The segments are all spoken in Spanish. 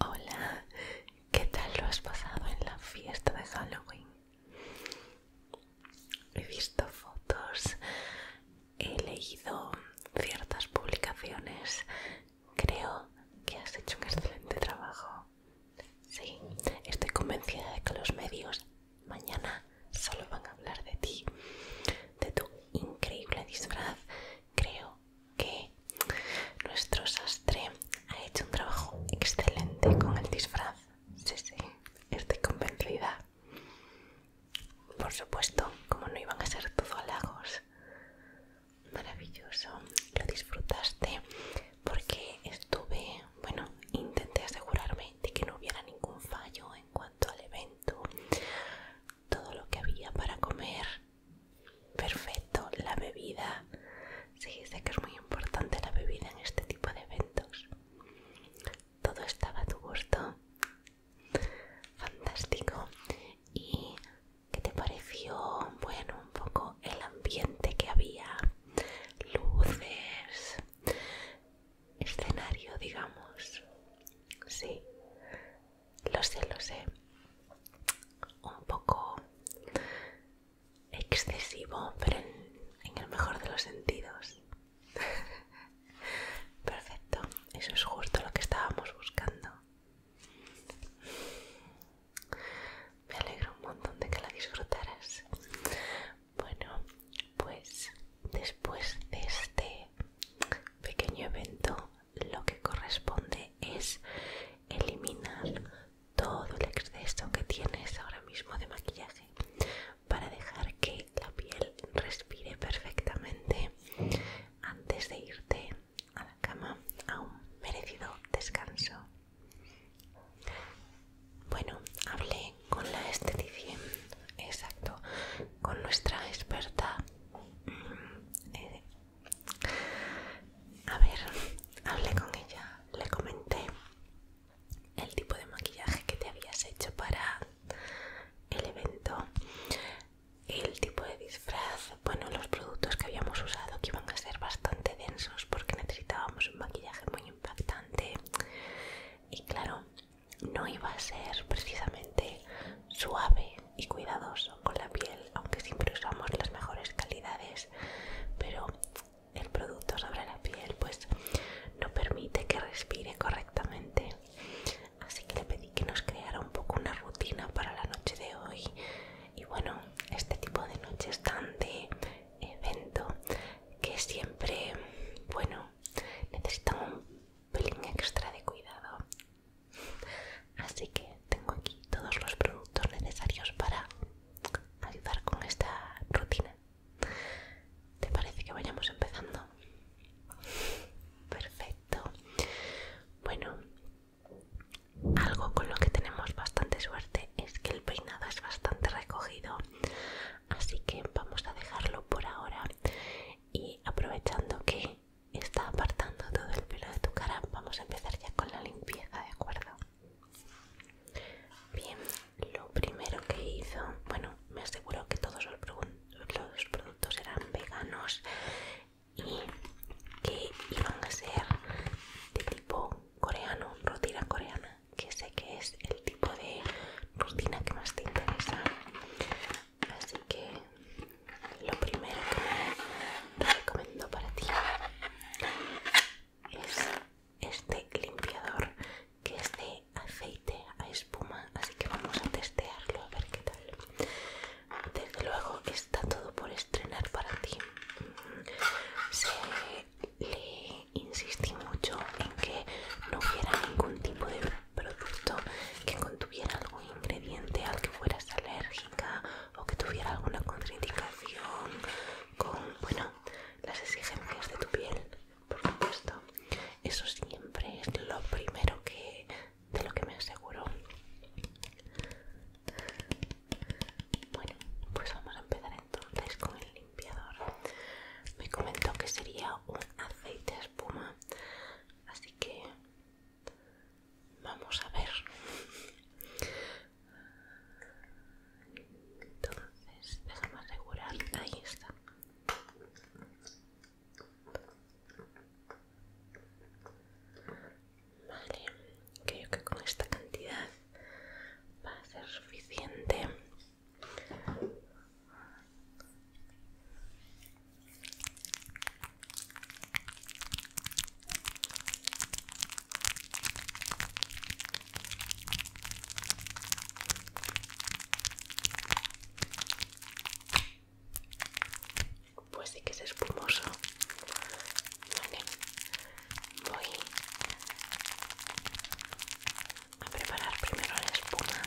Hola, ¿qué tal lo has pasado en la fiesta de Halloween? He visto fotos, he leído ciertas publicaciones, creo que has hecho un excelente trabajo. Sí, estoy convencida de que los medios mañana solo van a hablar de ti, de tu increíble disfraz creo que nuestro sastre ha hecho un trabajo excelente con el disfraz. Sí, sí, estoy convencida. Por supuesto, como no iban a ser todo halagos. Maravilloso, lo disfrutaste porque estuve, bueno, intenté asegurarme de que no hubiera ningún fallo en cuanto al evento todo lo que había para comer. Perfecto, la bebida. Sí, sé que es muy importante la bebida en este tipo de eventos. Todo estaba a tu gusto. Fantástico. ¿Y qué te pareció? Bueno, un poco el ambiente que había. Luces. Escenario, digamos. Sí. Lo sé, lo sé. Un poco excesivo, pero en, el mejor de los sentidos. Perfecto, eso es justo lo que estábamos buscando. Me alegro un montón de que la disfrutaras. Bueno, pues después de este pequeño evento lo que corresponde es eliminar todo el exceso que tienes ahora mismo de maquillaje para dejar que la piel respire perfectamente antes de irte a la cama a un merecido descanso. Bueno, hablé con la esteticien, exacto, con nuestra experta. Eh, a ver, hablé con ella, le comenté el tipo de maquillaje que te habías hecho para el evento, el tipo de disfraz, bueno, los productos que habíamos usado que iban a ser bastante densos porque necesitábamos un maquillaje muy impactante y claro, no iba a ser precisamente suave y cuidadoso con la piel, aunque siempre usamos las mejores calidades, pero el producto sobre la piel pues no permite que respire correctamente. Así que le pedí que nos creara un poco una rutina para la noche de hoy. Y bueno, este tipo de noches tan de evento que siempre, bueno, necesitan un pelín extra de cuidado. Así que tengo aquí todos los productos necesarios para ayudar con esta rutina. ¿Te parece que vayamos empezando? Perfecto. Bueno, algo con lo que tenemos bastante suerte es que el peinado es bastante recogido, así que vamos a dejarlo por ahora y aprovechando que está apartando todo el pelo de tu cara. Vamos a empezar ya con la limpieza, ¿de acuerdo? Bien, lo primero que hizo, bueno, me aseguró que todos los, productos eran veganos y que iban a ser de tipo coreano, rutina coreana, que sé que es el tipo de rutina que más te interesa así que lo primero que recomiendo para ti es este limpiador que es de aceite a espuma así que vamos a testearlo a ver qué tal desde luego está todo por estrenar para ti se le insistí mucho en que no hubiera ningún tipo de producto que contuviera algún ingrediente al que fueras alérgica o que tuviera alguna contraindicación con, bueno, las exigencias de tu piel, por supuesto. Eso siempre es lo primero que de lo que me aseguro. Bueno, pues vamos a empezar entonces con el limpiador. Me comentó que sería un aceite espuma, así que Vamos a ver. Entonces, déjame asegurar. Ahí está. Vale, creo que con esta cantidad va a ser suficiente. Pues sí que es espumoso. Voy a preparar primero la espuma.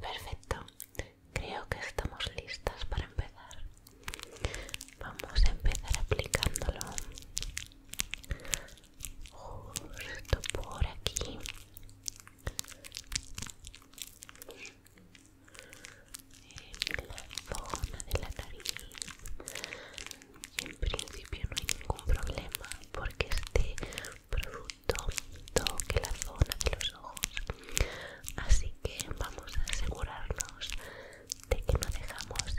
Perfecto, creo que estamos listas para empezar. Vamos a empezar aplicándolo justo por aquí en la zona de la nariz en principio no hay ningún problema porque este producto toque la zona de los ojos así que vamos a asegurarnos de que no dejamos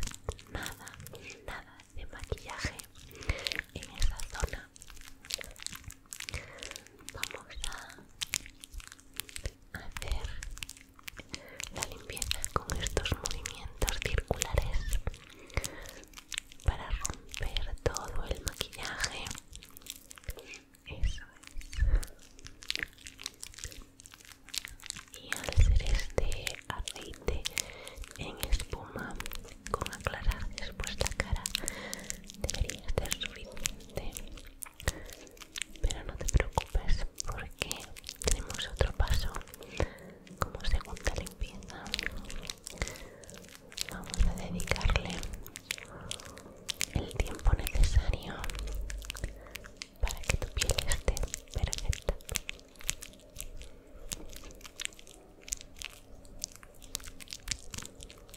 nada nada de maquillaje en esa zona vamos a hacer la limpieza con estos movimientos circulares para romper todo el maquillaje eso es y al hacer este aceite en espuma con aclarar después la cara debería ser suficiente pero no te preocupes porque tenemos otro paso como segunda limpieza vamos a dedicarle el tiempo necesario para que tu piel esté perfecta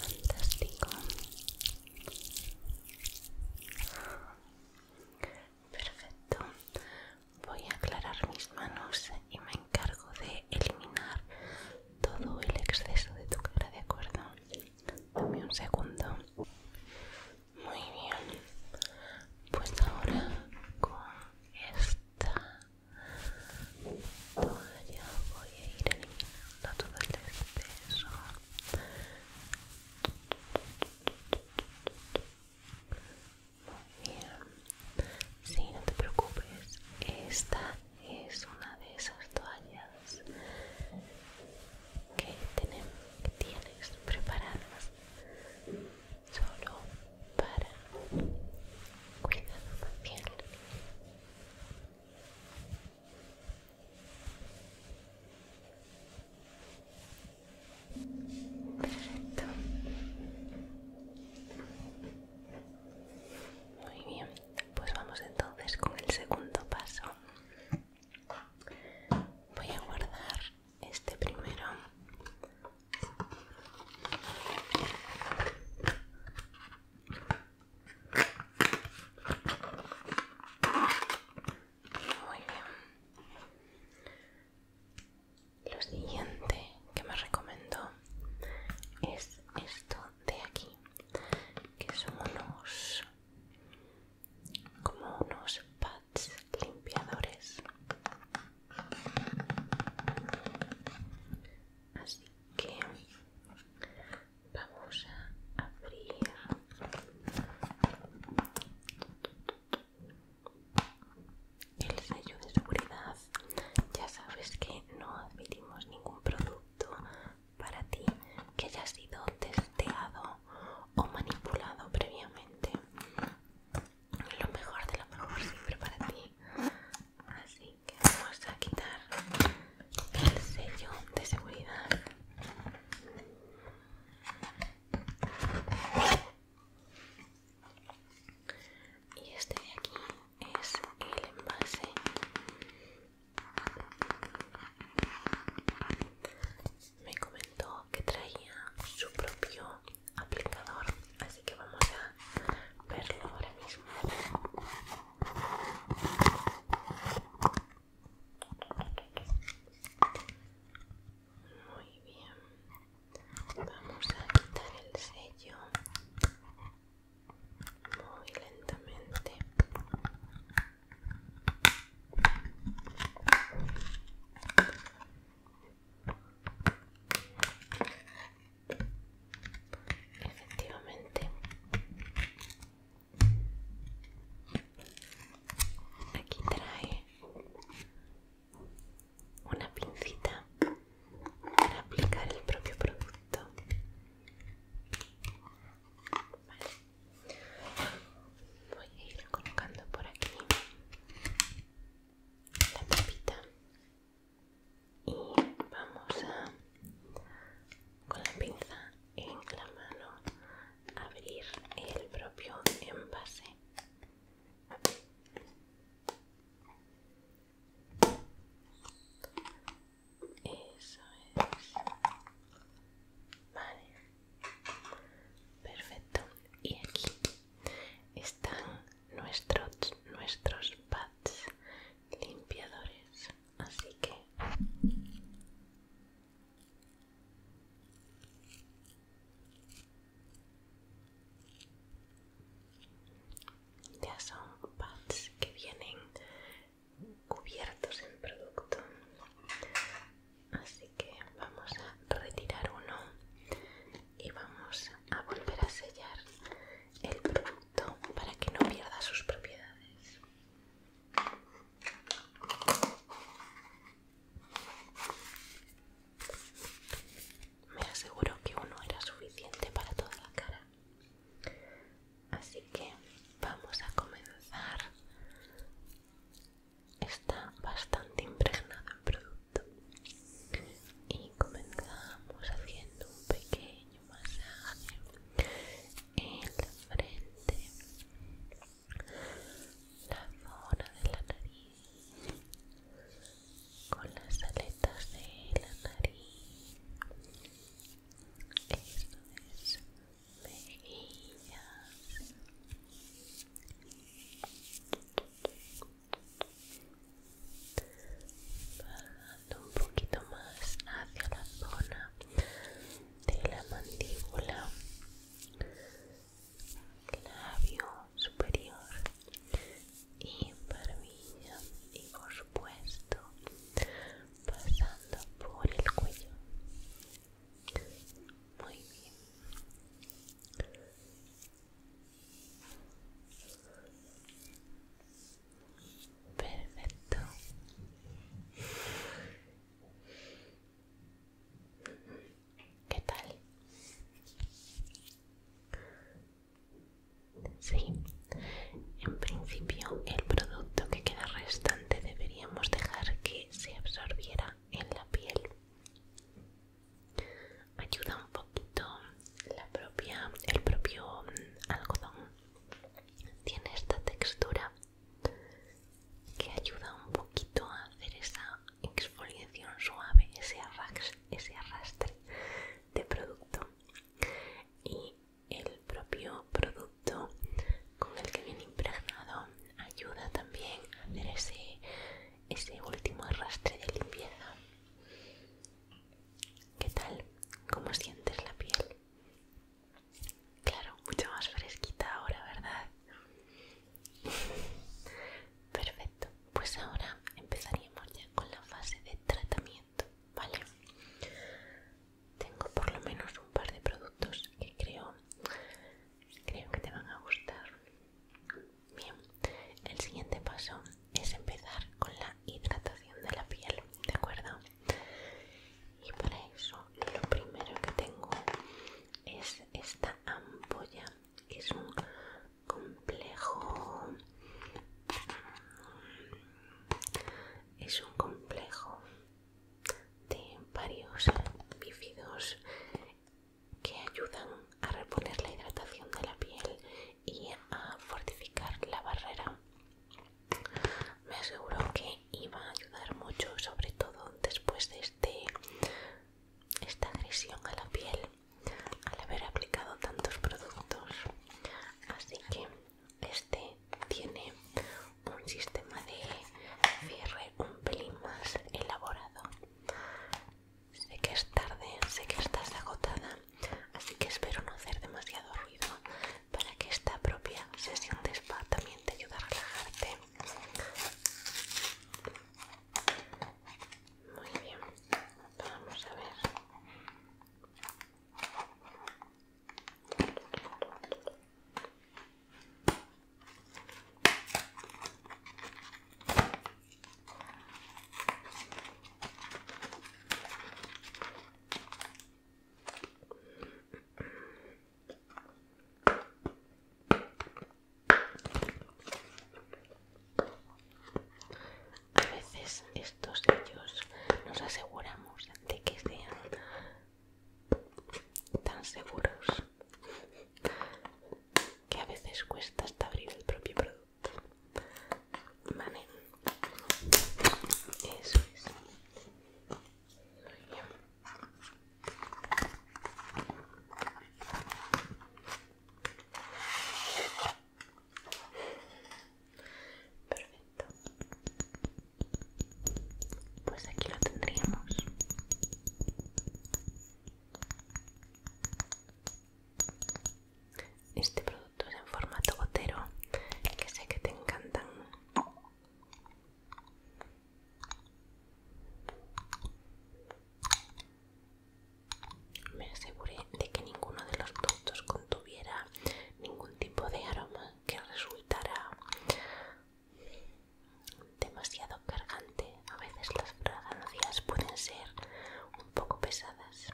Fantástico. Perfecto. Voy a aclarar mis manos y me encargo de eliminar todo el exceso de tu cara, ¿de acuerdo? Dame un segundo. Muy bien. Pues ahora con esta toalla voy a ir eliminando todo el exceso. Muy bien. Sí, no te preocupes. Esta es una de esas toallas que, tenemos que tienes preparadas solo para cuidado piel Perfecto. Muy bien, pues vamos entonces con el segundo paso. Voy a guardar este primero muy bien lo siguiente que me recomendó es esto de aquí que son unos como unos pads limpiadores así que vamos a abrir el sello de seguridad ya sabes que no admitimos ningún producto para ti que haya sido testeado o manipulado previamente. Lo mejor de lo mejor siempre para ti. Así que vamos a quitar el sello de seguridad. Y este de aquí es el envase me comentó que traía su propio aplicador así que vamos a verlo ahora mismo muy bien vamos a quitar el sello muy lentamente Efectivamente, aquí trae una pincita para aplicar el propio producto voy a ir colocando por aquí la tapita y vamos a con la pinza en la mano abrir el propio envase eso es vale Perfecto. Y aquí están nuestros, nuestros pads limpiadores. Así que... Ya son pads que vienen cubiertos en producto así que vamos a retirar uno y vamos a volver a sellar el producto para que no pierda sus propiedades me aseguro que uno era suficiente para toda la cara así que vamos a comenzar está bastante impregnado el producto y comenzamos haciendo un pequeño masaje en la frente la zona de la nariz con las aletas de la nariz esto es mejillas bajando un poquito más hacia la zona de la mandíbula labio superior y barbilla y por supuesto pasando por el cuello muy bien Perfecto. ¿Qué tal? Sí, en principio el producto que queda restante deberíamos dejar que se absorbiera en la piel ayuda un poquito la el propio mm, algodón tiene esta textura que ayuda un poquito a hacer esa exfoliación suave, ese arrastre, ese arrastre de producto y el propio producto con el que viene impregnado ayuda también a hacer ese ese último arrastre de limpieza. ¿Qué tal? ¿Cómo sientes la piel? Claro, mucho más fresquita ahora, ¿verdad? Perfecto, pues ahora empezaríamos ya con la fase de tratamiento, ¿vale? Tengo por lo menos un par de productos que creo, creo que te van a gustar. Bien, el siguiente paso es empezar con la hidratación de la piel, ¿de acuerdo? Y para eso lo primero que tengo es esta ampolla, que es un complejo... Es un complejo de varios bífidos que ayudan a reponer la hidratación de la piel y a fortificar la barrera. Me aseguro que iba a ayudar mucho, sobre todo después de este, esta agresión a la piel, al haber aplicado tantos productos. Así que este tiene un sistema de cierre un pelín más elaborado Sé que es tarde, sé que estás agotada, así que espero no hacer demasiado ruido para que esta propia sesión de spa también te ayude a relajarte. Muy bien, vamos a ver. A veces estos ellos nos aseguramos de que sean tan seguros que a veces cuesta hasta abrir el propio producto vale eso es Perfecto. Pues aquí lo tendríamos. Este producto es en formato gotero, que sé que te encantan. Me aseguré de que ninguno de los productos contuviera ningún tipo de aroma que resultara demasiado cargante. A veces las fragancias pueden ser un poco pesadas.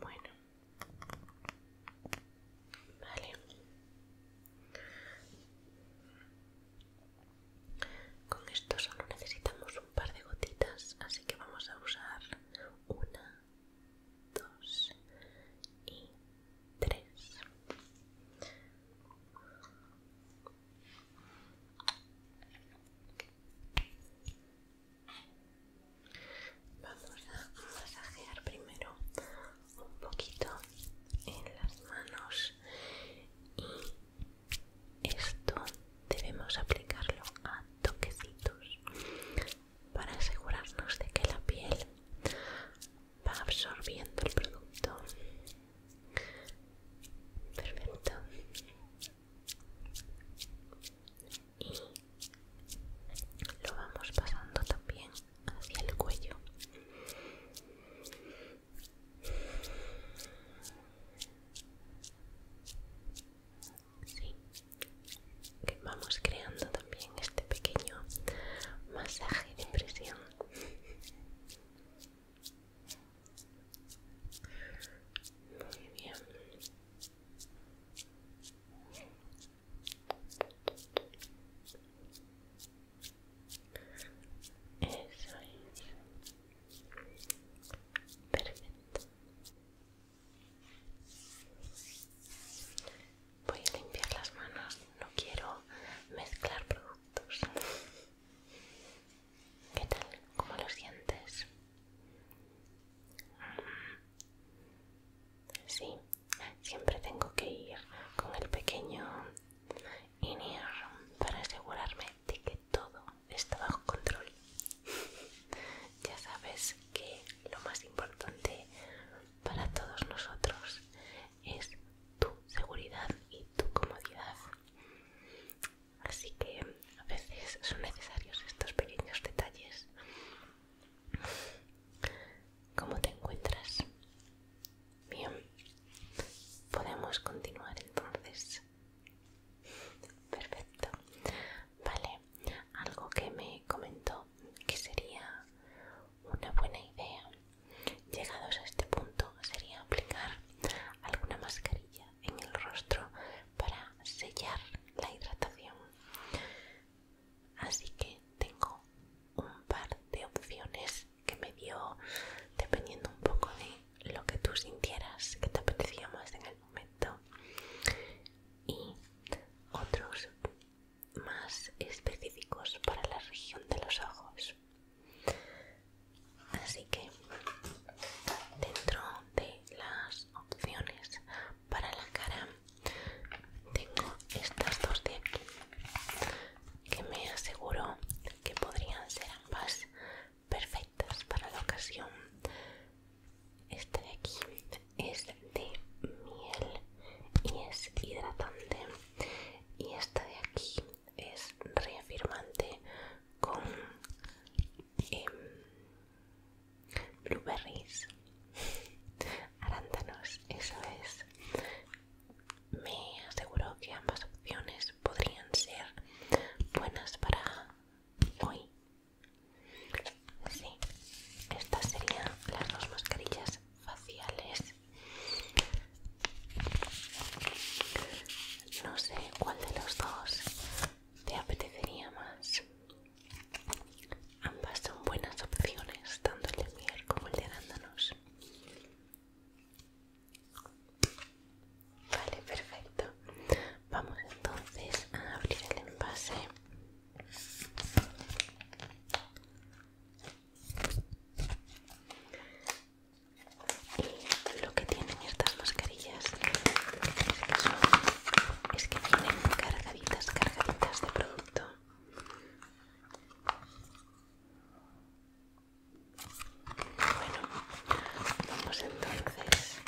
Bueno, vale. Con esto solo necesitamos un par de gotitas, así que vamos a usar una, dos y tres. Vamos a masajear primero un poquito en las manos y esto debemos aplicarlo a toquecitos para asegurarnos de que la piel va absorbiendo el producto. Perfecto. Y lo vamos pasando también hacia el cuello sí, que vamos creando también este pequeño masaje de impresión Muy bien. Eso es perfecto. Voy a limpiar las manos, no quiero mezclar productos. ¿Qué tal? ¿Cómo lo sientes? Sí, siempre tengo que ir con el pequeño Inir para asegurarme de que todo está bajo control. ya sabes que lo más importante para todos nosotros es tu seguridad y tu comodidad. Así que a veces son necesarios estos pequeños detalles. ¿Cómo te encuentras? Bien, podemos continuar entonces. Perfecto. Vale, algo que me comentó que sería una buena idea, llegados a este punto, sería aplicar alguna mascarilla en el rostro para sellar la hidratación. Así que tengo un par de opciones que me dio dependiendo un poco de lo que tú sintieras que te apetecía más en el momento y otros más específicos para la región de los ojos. Así que dentro de las opciones para la cara tengo estas dos de aquí que me aseguro que podrían ser ambas perfectas para la ocasión. Este de aquí es de miel y es hidratante. Y esta de aquí es reafirmante con em, blueberries, arándanos, eso es. Me aseguro que ambas opciones podrían ser buenas para hoy Sí, estas serían las dos mascarillas faciales. No sé cuál de los dos te apetecería más. Ambas son buenas opciones, tanto el de miel como el de arándanos. Vale, perfecto. Vamos entonces a abrir el envase. Y lo que tienen estas mascarillas es que tienen cargaditas, cargaditas de producto. Bueno, vamos entonces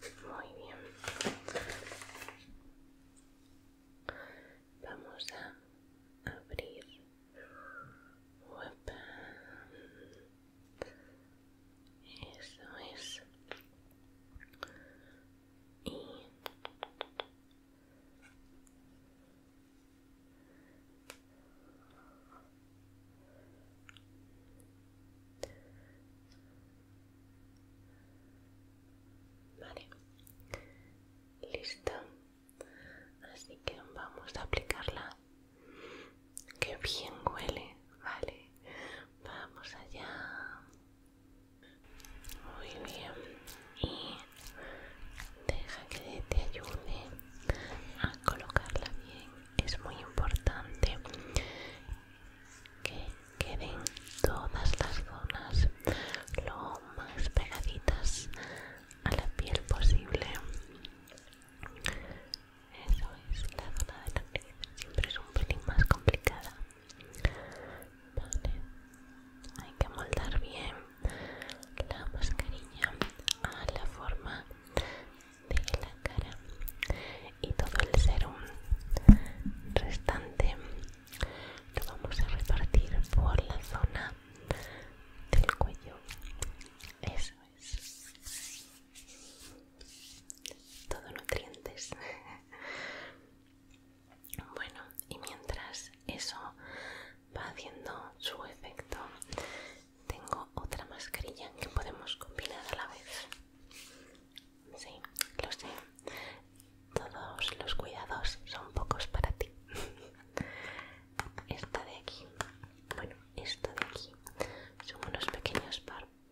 muy bien. Vamos a abrir. Eso es. Y Vale, listo. Así que vamos a aplicarla. Que bien huele, vale. Vamos allá. Muy bien. Y Deja que te ayude a colocarla bien. Es muy importante que queden todas las zonas lo más pegaditas a la piel posible. Eso es, la zona de la piel siempre es un pelín más complicada hay que moldar bien la mascarilla a la forma de la cara y todo el serum restante lo vamos a repartir por la zona del cuello eso es todo nutrientes bueno y mientras eso va haciendo su efecto. Tengo otra mascarilla que podemos combinar a la vez. Sí, lo sé. Todos los cuidados son pocos para ti. Esta de aquí, bueno, esto de aquí son unos pequeños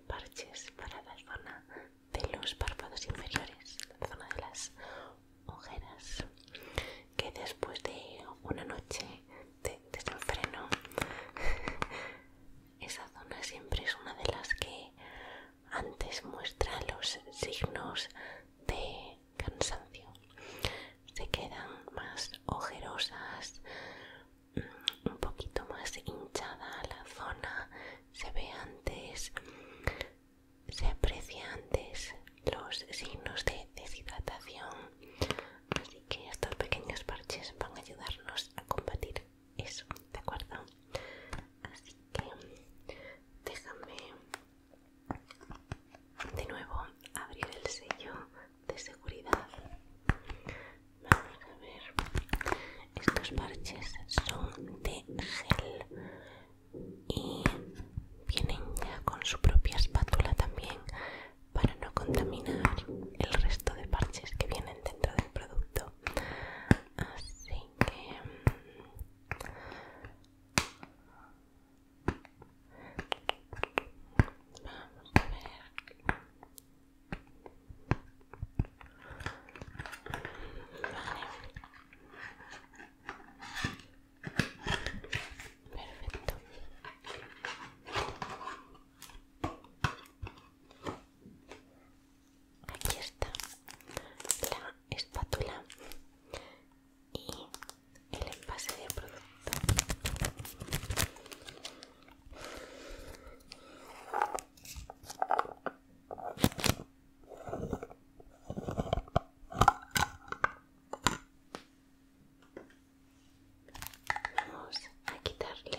parches para la zona de los párpados inferiores, la zona de las ojeras que después de una noche de desenfreno esa zona siempre es una de las que antes muestra los signos de cansancio se quedan más ojerosas mm, un poquito más hinchada la zona se ve antes se aprecia antes los signos de deshidratación, así que estos pequeños parches van a ayudarnos a combatir eso, ¿de acuerdo? Así que déjame de nuevo abrir el sello de seguridad. Vamos a ver, estos parches son de gel y vienen ya con su propia espátula también para no contaminar el resto de parches que vienen dentro del producto así que mm, vamos a ver Perfecto. Aquí está la espátula y el envase de producto. Vamos a quitarle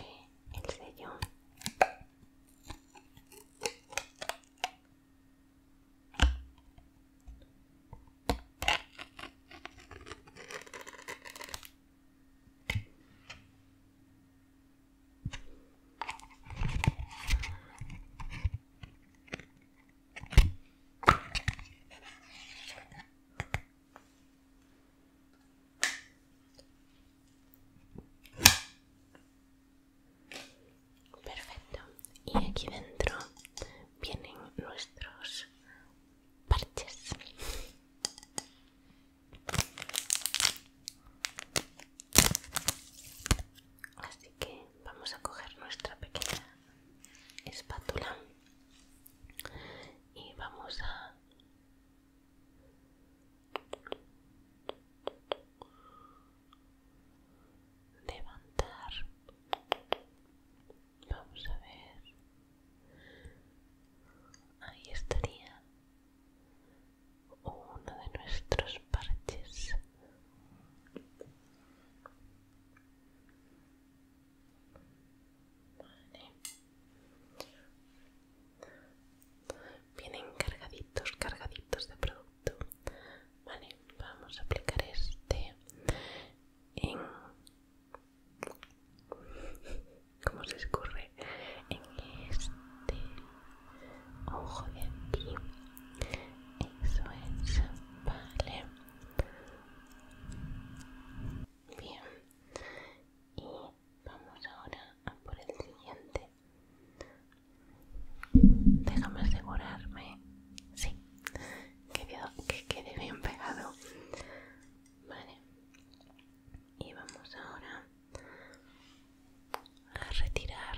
el sellón Perfecto. Y aquí dentro vienen nuestros parches. Así que vamos a coger nuestra pequeña espátula y vamos a levantar vamos a ver ahí estaría uno de nuestros parches Vienen cargaditos, cargaditos de producto. Vale, vamos a aplicar este en... ¿Cómo se escurre? En este ojo de aquí. Eso es. Vale. Bien, y vamos ahora a por el siguiente. Déjame asegurarme, sí, que quede bien pegado. Vale, y vamos ahora a retirar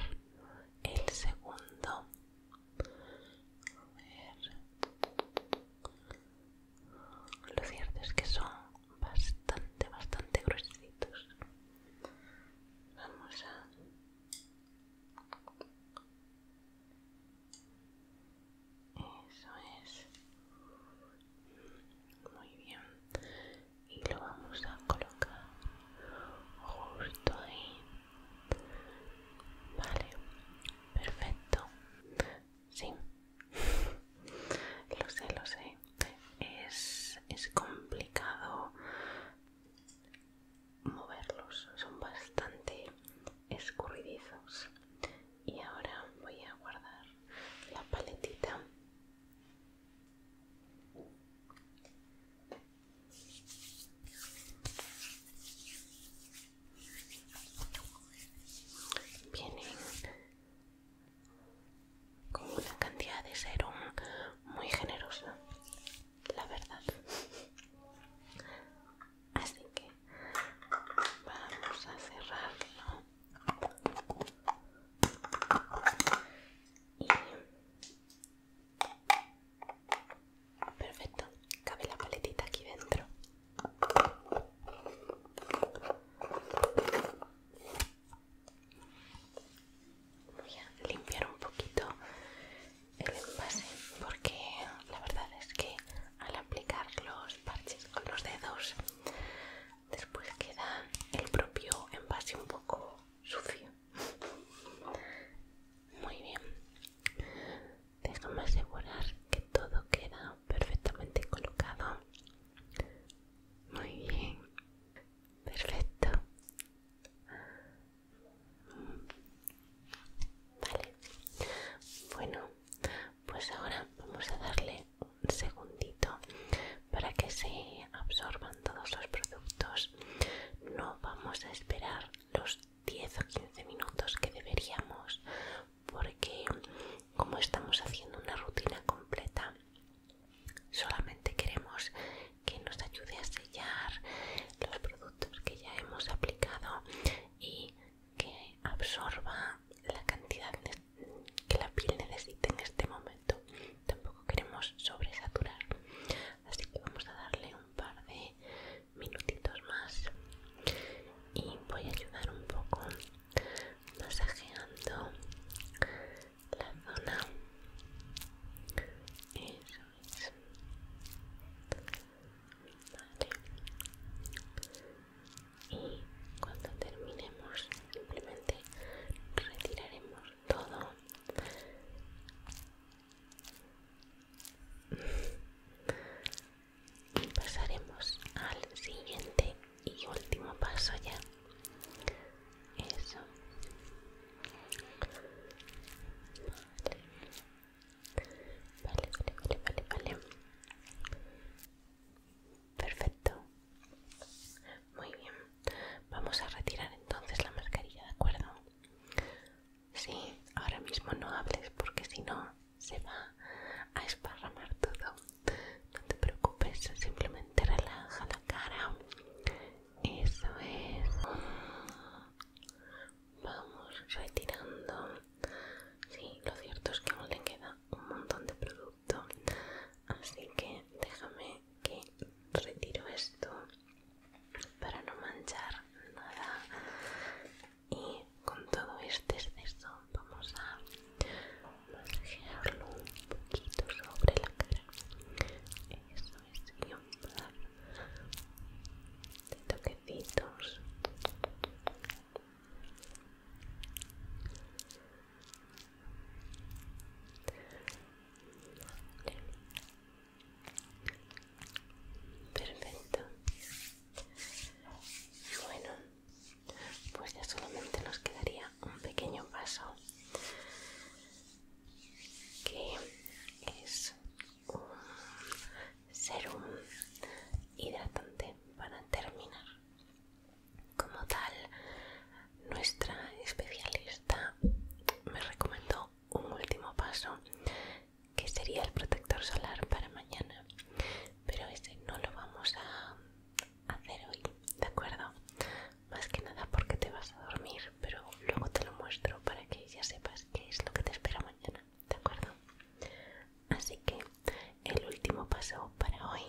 el segundo lo cierto es que son bastante, bastante gruesitos. Vamos a... Eso es. Muy bien. Y lo vamos a colocar justo ahí. Vale, perfecto. Sí, lo sé, lo sé. Es, es complicado moverlos, son bastante escurridizos. Y ahora voy a guardar la paletita. Vienen con una cantidad de serum muy generosa, la verdad. Así que vamos a cerrarlo. Perfecto, cabe la paletita aquí dentro. Voy a limpiar un poquito el envase porque la verdad es que al aplicar los parches con los dedos después queda el propio envase un poco sucio. Muy bien, Déjame asegurar que todo queda perfectamente colocado. Muy bien. Perfecto. Vale. Bueno, pues ahora vamos a darle un segundito para que se absorban todos los productos. No vamos a esperar los 10 o 15 minutos que deberíamos porque como estamos haciendo una rutina completa solamente queremos que nos ayude a sellar los productos que ya hemos aplicado y que absorba la cantidad que la piel necesita en este momento tampoco queremos sobresaturar así que vamos a darle un par de minutitos más y voy a ayudar un poco masajeando la zona eso es y cuando terminemos simplemente retiraremos todo y pasaremos al siguiente y último paso ya eso vale vale vale vale vale perfecto muy bien vamos a retirar entonces la mascarilla de acuerdo Sí, ahora mismo no hables porque si no se va a esparramar todo. No te preocupes, simplemente relaja la cara. Eso es. Vamos retirando. Sí, lo cierto es que aún le queda un montón de producto. Así que déjame que retiro esto para no manchar nada y con todo este exceso vamos a masajearlo un poquito sobre la cara eso es, y un par de toquecitos Perfecto. Bueno, pues ya solamente nos quedaría un pequeño paso que es un serum hidratante para terminar. Como tal, nuestra especialista me recomendó un último paso que sería el protector solar para mañana pero ese no lo vamos a hacer hoy de acuerdo más que nada porque te vas a dormir pero luego te lo muestro para que ya sepas qué es lo que te espera mañana de acuerdo así que el último paso para hoy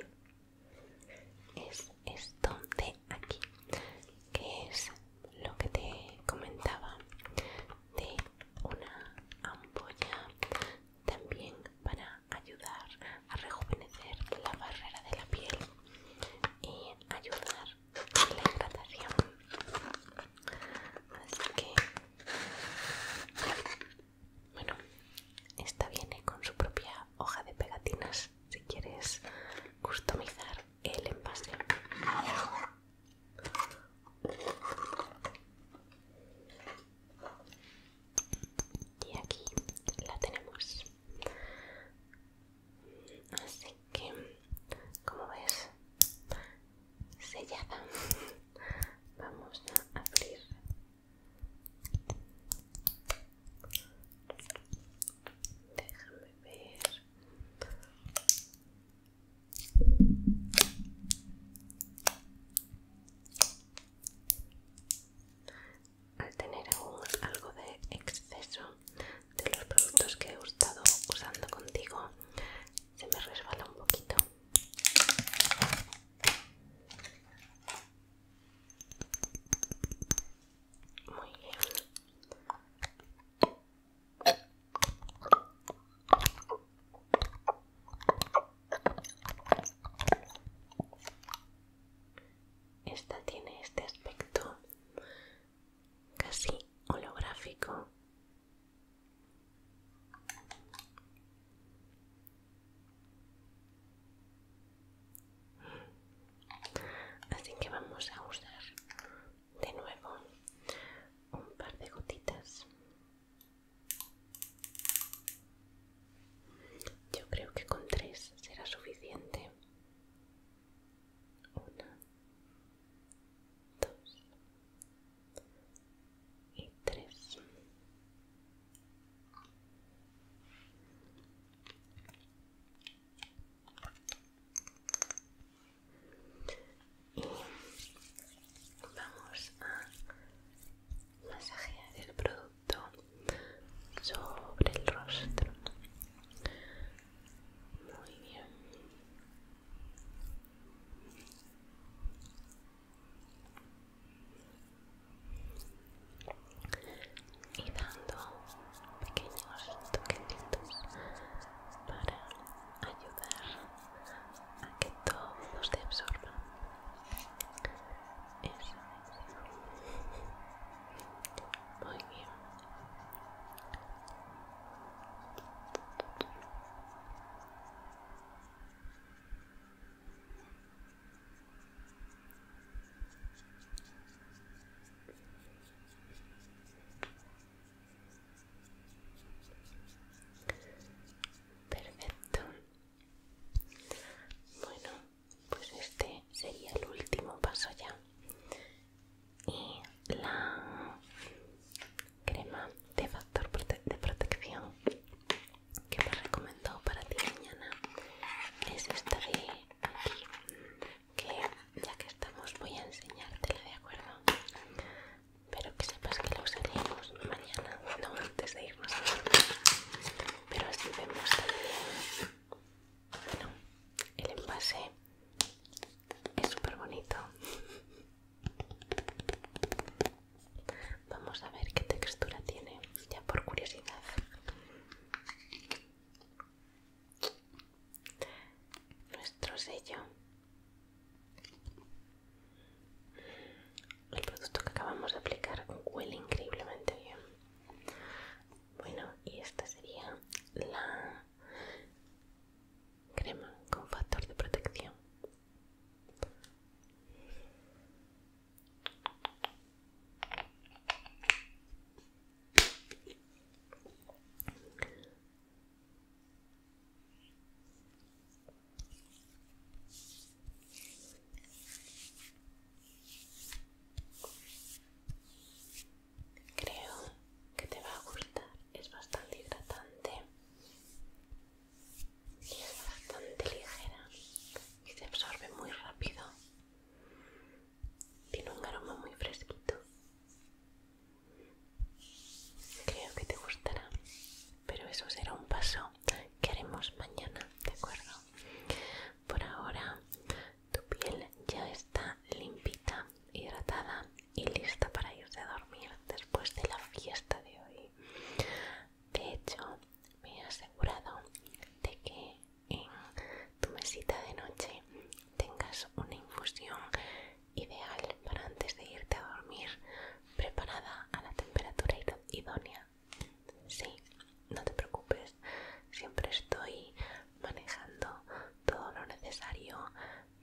es esto de aquí que es lo que te comentaba de una ampolla también para ayudar a rejuvenecer la barrera de la piel y ayudar a la hidratación así que bueno esta viene con su propia hoja de pegatinas si quieres customizar el envase y aquí la tenemos así que como ves sellada vamos a abrir déjame ver al tener algo de exceso de los productos que he estado usando contigo, se me resbala un poquito. Muy bien. Esta tiene este aspecto casi holográfico. Así que vamos a usar de nuevo un par de gotitas. Yo creo que con tres será suficiente. Una, dos y tres y vamos a masajear el producto sobre el rostro muy bien y dando pequeños toquecitos para ayudar a que todo se absorba. Eso Muy bien. Perfecto. Bueno, pues este sería el último paso ya. Y la crema de factor de protección que me recomendó para ti mañana es esta de Que ya que estamos, voy a enseñarte ¿de acuerdo? pero que sepas que lo usaremos mañana, no antes de irnos a dormir. Pero así vemos también. Bueno, el envase es súper bonito. Vamos a ver qué textura tiene, ya por curiosidad. Nuestro sello el producto que acabamos de aplicar huele increíblemente bien. Bueno, y esta sería la crema con factor de protección. Creo que te va a gustar, es bastante hidratante y es bastante ligera y se absorbe muy rápido. Tiene un aroma muy fresquito. Creo que te gustará pero eso será un paso que haremos mañana, ¿de acuerdo? Por ahora tu piel ya está limpita, hidratada y lista para irse a dormir después de la fiesta de hoy. De hecho, me he asegurado de que en tu mesita de noche tengas una infusión ideal para antes de irte a dormir preparada a la temperatura idónea. Sí, no te preocupes, siempre estoy manejando todo lo necesario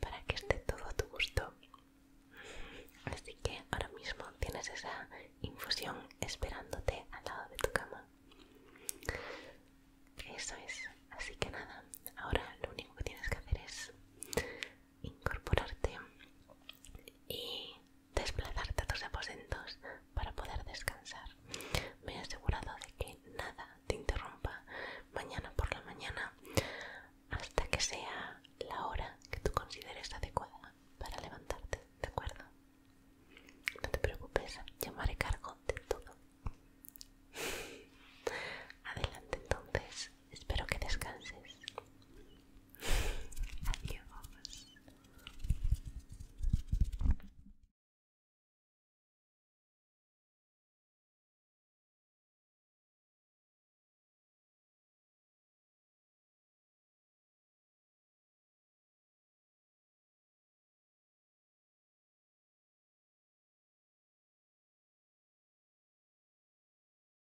para que esté todo a tu gusto. Así que ahora mismo tienes esa infusión esperándote al lado de tu cama. Eso es, así que nada, ahora lo único que tienes que hacer es incorporarte y desplazarte a tus aposentos para poder descansar. Me he asegurado de que nada te interrumpa mañana por la mañana hasta que sea la hora que tú consideres adecuada para levantarte, ¿de acuerdo? No te preocupes, llamaré cargo de todo. Adelante entonces Espero que descanses.